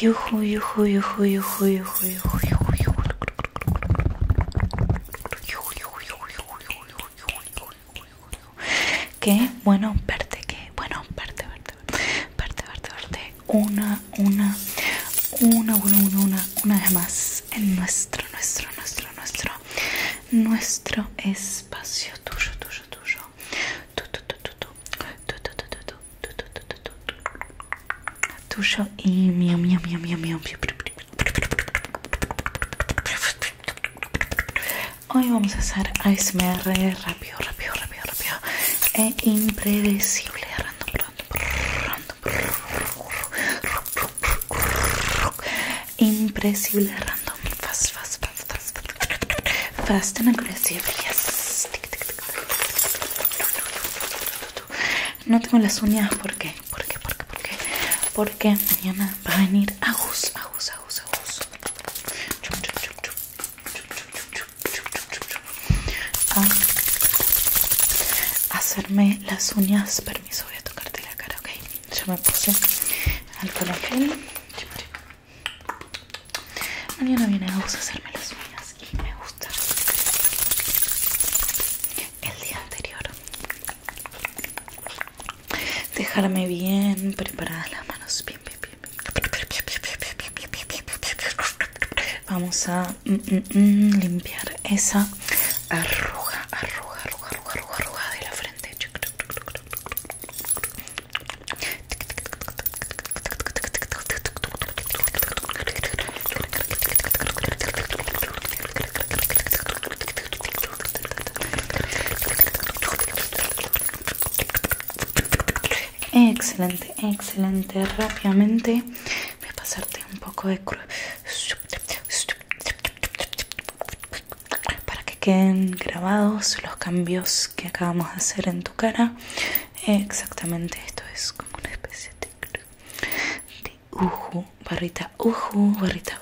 Yuhu, yuhu, yuhu, yuhu, yuhu, yuhu, yuhu, yuhu. Que bueno, verte, que bueno, verte, verte, verte, verte, verte, verte. Una una, una, una, una, una, una, más en nuestro, nuestro, nuestro, nuestro, nuestro espacio tuyo, tuyo, tuyo. Tu, tu, tu, tu, tu. Tu, tu, tu, tu, tu, Tuyo y mío, mío, mío, mío, mío. Hoy vamos a hacer ASMR rápido, rápido, rápido, rápido e impredecible, Impresible random. Fast, fast, fast, fast. Fast and aggressive. Yes. No tengo las uñas. ¿Por qué? ¿Por qué? ¿Por qué? ¿Por qué? Porque mañana va a venir Agus, Agus, Agus, Agus a hacerme las uñas. Permiso, voy a tocarte la cara, ok. Ya me puse alcohol en Mañana viene a hacerme las uñas y me gusta el día anterior dejarme bien preparadas las manos. Bien, bien, bien. Vamos a mm, limpiar esa arruga, arruga, arruga, arruga, arruga, arruga de la frente. Excelente, excelente. Rápidamente voy a pasarte un poco de para que queden grabados los cambios que acabamos de hacer en tu cara exactamente esto es como una especie de, de barrita uhu, barrita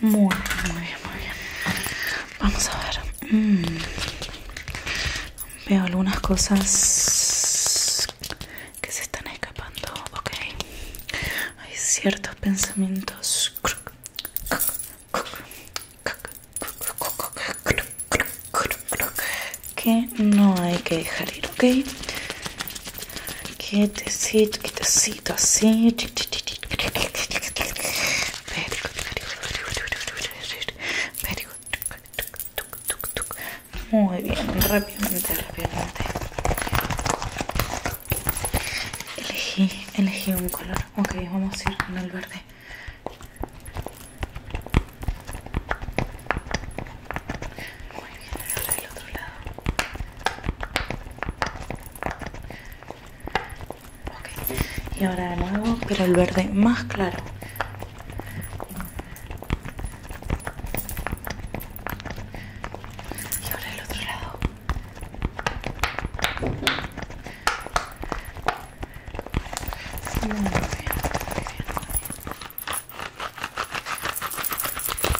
muy bien, muy bien, muy bien. Vamos a ver. Mm. Veo algunas cosas que se están escapando. Ok. Hay ciertos pensamientos. Que no hay que dejar ir, ok. Quietecito, quietecito tuk así. Muy bien, rápidamente, rápidamente. Elegí, elegí un color. Ok, vamos a ir con el verde. Muy bien, ahora del otro lado. Ok, Y ahora de nuevo, pero el verde más claro. Y ahora el otro lado.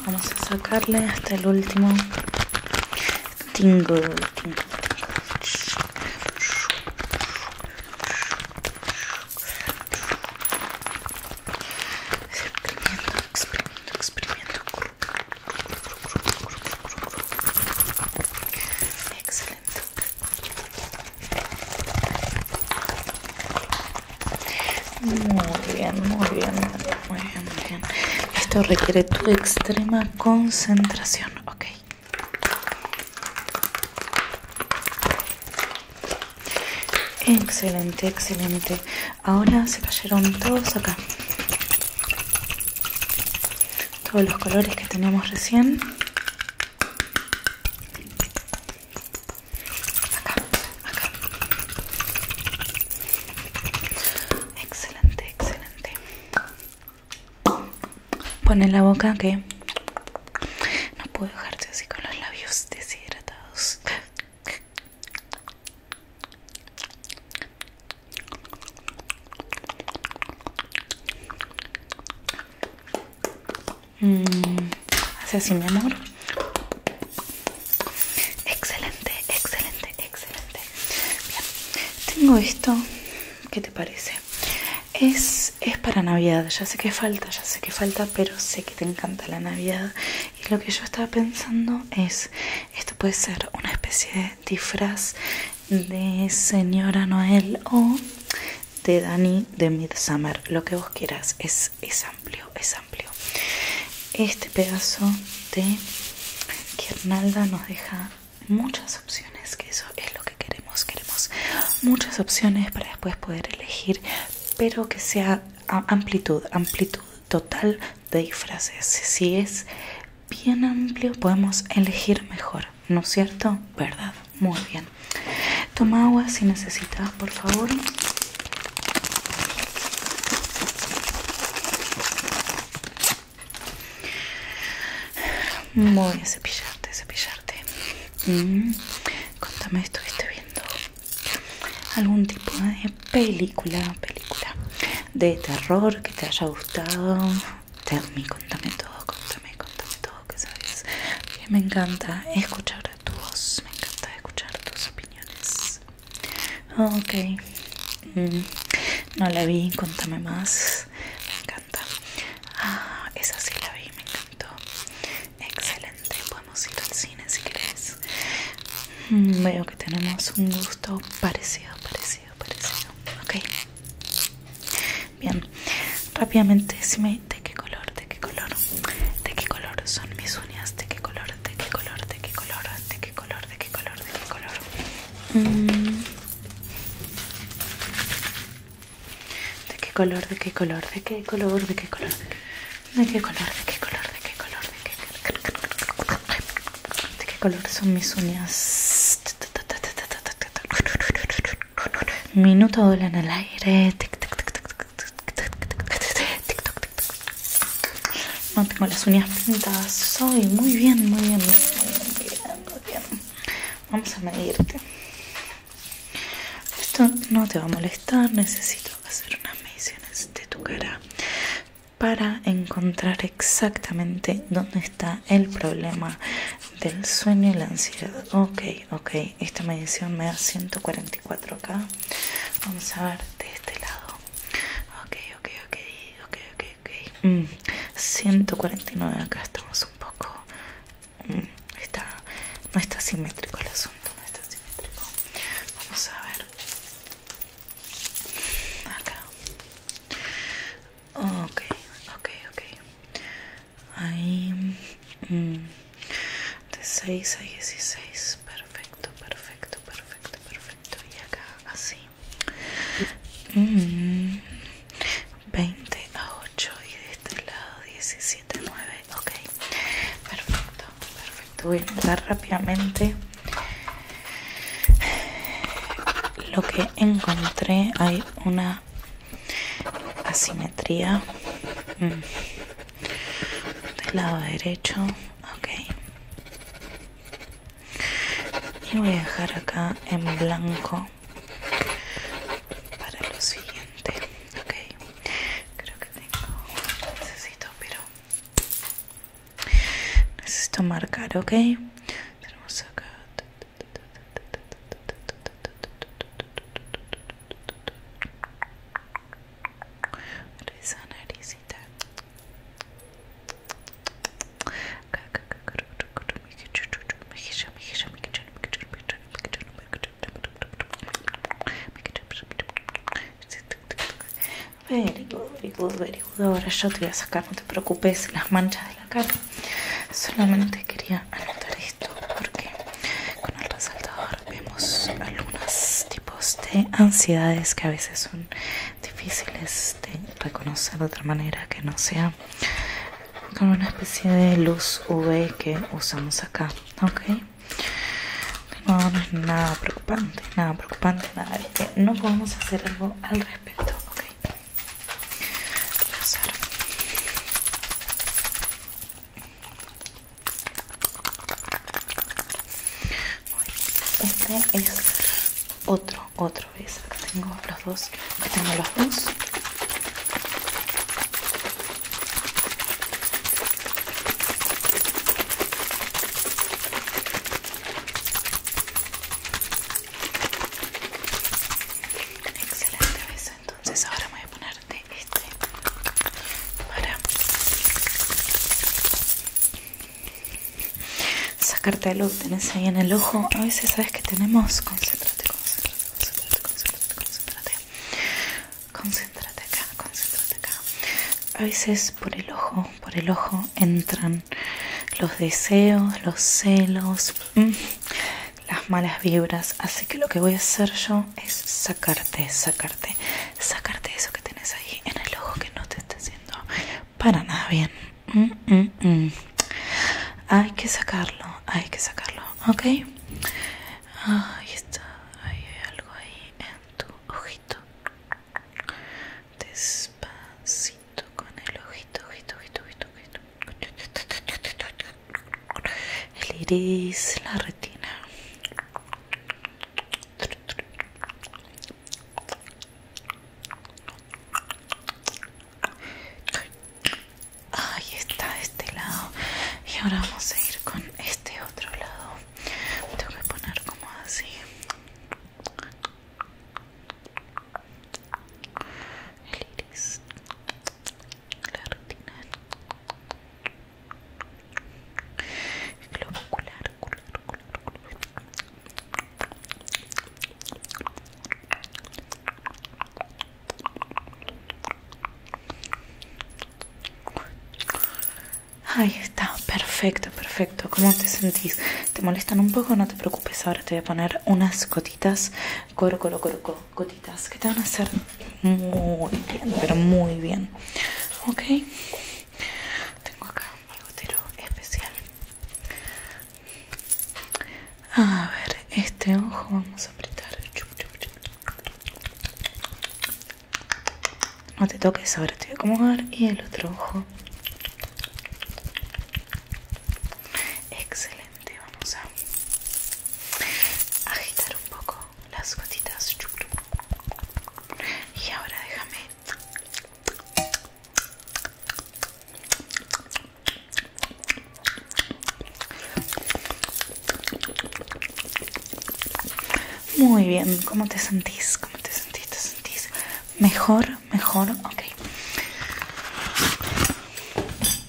Vamos a sacarle hasta el último tingle, tingle, experimento, experimento, exprimiendo. Excelente. Muy bien, muy bien, muy bien, muy bien. Esto requiere tu extrema concentración. Ok. Excelente, excelente. Ahora se cayeron todos acá. Todos los colores que teníamos recién. Acá, acá. Excelente, excelente. Pone en la boca que no puedo dejarse así con los labios deshidratados. Mm, hace así mi amor. Excelente, excelente, excelente. Bien, tengo esto. ¿Qué te parece? Es, para Navidad, ya sé que falta, ya sé que falta, pero sé que te encanta la Navidad. Y lo que yo estaba pensando es, esto puede ser una especie de disfraz de señora Noel o de Dani de Midsummer, lo que vos quieras, es, es amplio, es amplio. Este pedazo de guirnalda nos deja muchas opciones, que eso es lo que queremos, queremos muchas opciones para después poder elegir, pero que sea amplitud, amplitud total de disfraces. Si es bien amplio, podemos elegir mejor, ¿no es cierto? ¿Verdad? Muy bien. Toma agua si necesitas, por favor. Voy a cepillarte, cepillarte. Mm. Contame esto que estoy viendo. ¿Algún tipo de película, película de terror que te haya gustado? Termi, contame todo, contame, contame todo que sabes. Que me encanta escuchar tu voz, me encanta escuchar tus opiniones. Ok. Mm, no la vi, contame más. Me encanta. Ah, esa sí la vi, me encantó. Excelente, podemos ir al cine si quieres. Mm, veo que tenemos un gusto parecido, parecido, parecido. Ok. Bien. Rápidamente, decime de qué color, de qué color, de qué color son mis uñas, de qué color, de qué color, de qué color, de qué color, ¿De qué color? ¿De qué color? ¿De qué color? ¿De qué color? ¿De qué color? ¿De qué color? ¿De qué color? ¿De qué color? ¿De qué color? ¿De qué color? ¿De qué color son mis uñas? Minuto en el aire. No tengo las uñas pintadas. Soy muy bien, muy bien, muy bien, Vamos a medirte. Esto no te va a molestar. Necesito hacer unas mediciones de tu cara para encontrar exactamente dónde está el problema del sueño y la ansiedad. Ok, ok. Esta medición me da 144 acá. Vamos a ver de este lado. Ok, ok, ok ok, ok, ok. 149 mm, acá estamos un poco... Mm, está, no está simétrico el asunto, no está simétrico. Vamos a ver. Acá. Ok, ok, ok. Ahí... Mm, de 6 a 16. Perfecto, perfecto, perfecto, perfecto estoy acá así mmm 20 a 8 y de este lado 17 a 9 ok perfecto perfecto voy a entrar rápidamente lo que encontré hay una asimetría mm. del lado derecho ok y voy a dejar acá en blanco para lo siguiente ok creo que tengo necesito pero necesito marcar ok tenemos acá naricita Ahora yo te voy a sacar, no te preocupes, las manchas de la cara. Solamente quería anotar esto porque con el resaltador vemos algunos tipos de ansiedades que a veces son difíciles de reconocer de otra manera que no sea con una especie de luz UV que usamos acá, ¿ok? No, es nada preocupante, nada preocupante, nada no podemos hacer algo al respecto, ¿ok? Este es otro, otro, beso, tengo los dos. tengo los dos. Excelente beso. Entonces ahora me voy a ponerte este para sacarte lo luz, tenés ahí en el ojo. A veces sabes que tenemos. Concéntrate, concéntrate, concéntrate, concéntrate, concéntrate. acá, concéntrate acá. A veces por el ojo, por el ojo entran los deseos, los celos, mm, las malas vibras. Así que lo que voy a hacer yo es sacarte, sacarte, sacarte eso que tenés ahí en el ojo que no te está haciendo para nada bien. Mm, mm, mm. Hay que sacarlo, hay que sacarlo, ¿ok? Ahí está, hay algo ahí en tu ojito. Despacito con el ojito, ojito, ojito. El iris, la retina. Ahí está este lado. Y ahora vamos a ir con este otro lado. Tengo que poner como así. El iris. La rutina El globo ocular, ocular. Ahí está, perfecto, perfecto. ¿Cómo te sentís? ¿Te molestan un poco? No te preocupes, ahora te voy a poner unas gotitas, coro, coro, coro, gotitas, que te van a hacer muy bien, pero muy bien. ¿Ok? Tengo acá mi gotero especial. A ver, este ojo vamos a apretar. No te toques, ahora te voy a acomodar. Y el otro ojo. Excelente, vamos a agitar un poco las gotitas. Y ahora déjame muy bien, ¿cómo te sentís? ¿Cómo te sentís? ¿Te sentís mejor? ¿Mejor? Ok.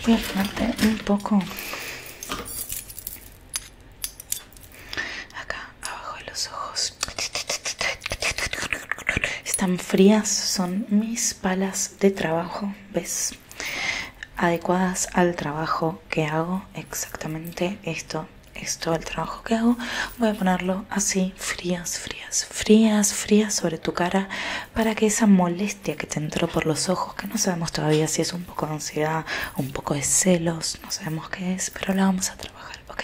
Voy a un poco acá abajo de los ojos están frías son mis palas de trabajo ves adecuadas al trabajo que hago exactamente esto es todo el trabajo que hago voy a ponerlo así frías frías frías frías sobre tu cara para que esa molestia que te entró por los ojos que no sabemos todavía si es un poco de ansiedad un poco de celos no sabemos qué es pero la vamos a trabajar ok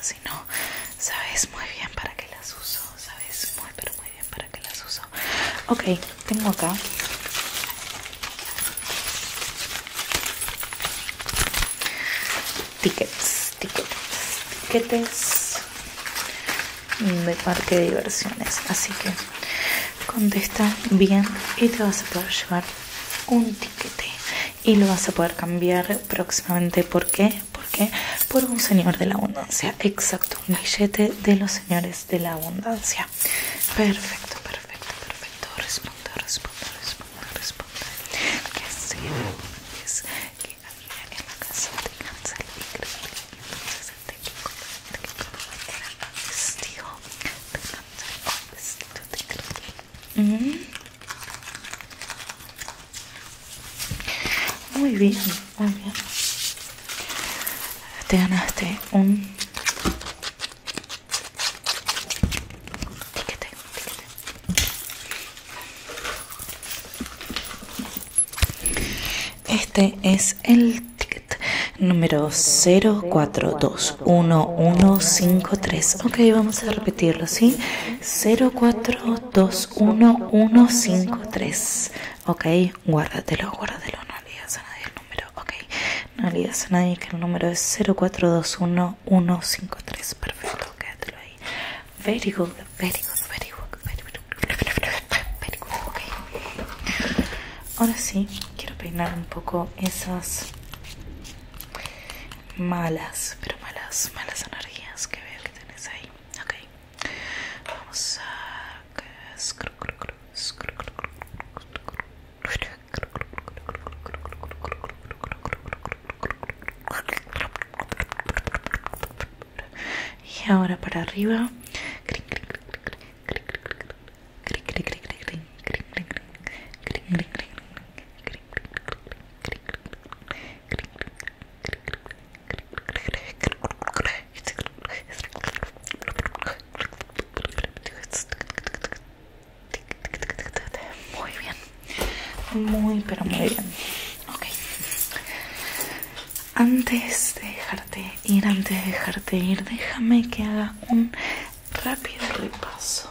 si no sabes muy bien para qué las uso sabes muy pero muy bien para qué las uso ok tengo acá tickets tickets tickets de parque de diversiones así que contesta bien y te vas a poder llevar un tiquete y lo vas a poder cambiar próximamente. ¿Por qué? ¿Por qué? Por un señor de la abundancia. Exacto, un billete de los señores de la abundancia. Perfecto, perfecto, perfecto. Responde, responde, responde, responde. Que es que en la casa el muy bien, muy bien. Te ganaste un Ticket. Este es el ticket número 0421153. Ok, vamos a repetir. 0421153. Ok, guárdatelo, guárdatelo, no le a nadie el número. Ok, no le a nadie que el número es 0421153. Perfecto, quédatelo ahí. Very good, very good, very good, very good. Very good, ok. Ahora sí, quiero peinar un poco esas malas, pero malas, malas energías que veo que tenés ahí. Ok, vamos a. Y ahora para arriba. Muy bien, muy pero muy bien. Ok. Antes de dejarte ir, antes de dejarte ir, déjame que haga Un rápido repaso.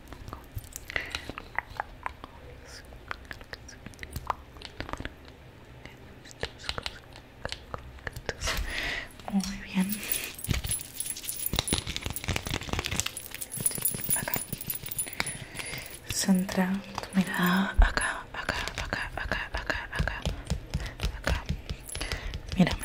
muy bien. Acá. Centra mira acá, acá, acá, acá, acá, acá, acá. Mírame.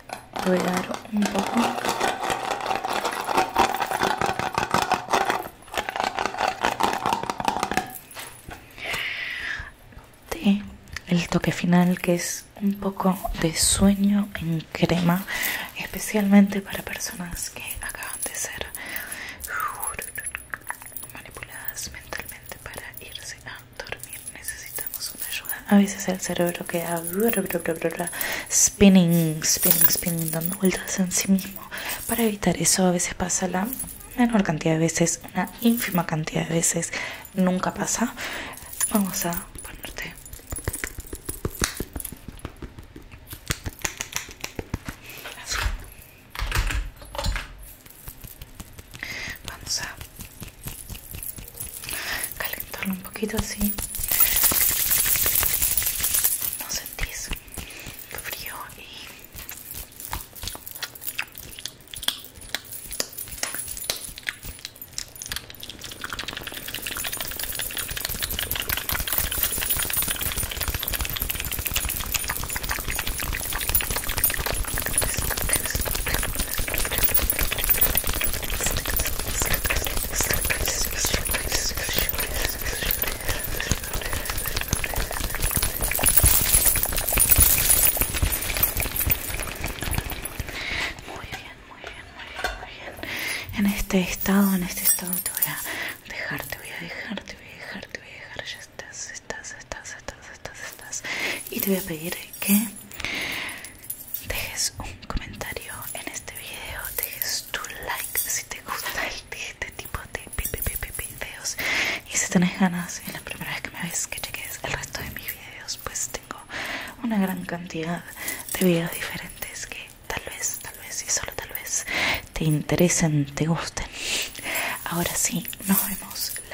dar un poco de el toque final que es un poco de sueño en crema especialmente para personas que acaban de ser uh, manipuladas mentalmente para irse a dormir necesitamos una ayuda. A veces el cerebro queda spinning, spinning, spinning, dando vueltas en sí mismo. Para evitar eso, a veces pasa la menor cantidad de veces, una ínfima cantidad de veces, nunca pasa. Vamos a ponerte Vamos a calentarlo un poquito así no sentís frío y muy bien, muy bien, muy bien, muy bien. En este estado, en este estado te voy a dejar, te voy a dejar, te voy a dejar, te voy a dejar. Ya estás, estás, estás, estás, estás, estás. Y te voy a pedir que dejes un comentario en este video, dejes tu like si te gusta este, este tipo de videos y si tenés ganas, es la primera vez que me ves que cheques el resto de mis videos, pues tengo una gran cantidad de videos diferentes que tal vez, tal vez y solo tal vez te interesen, te gusten. Ahora sí, nos vemos la...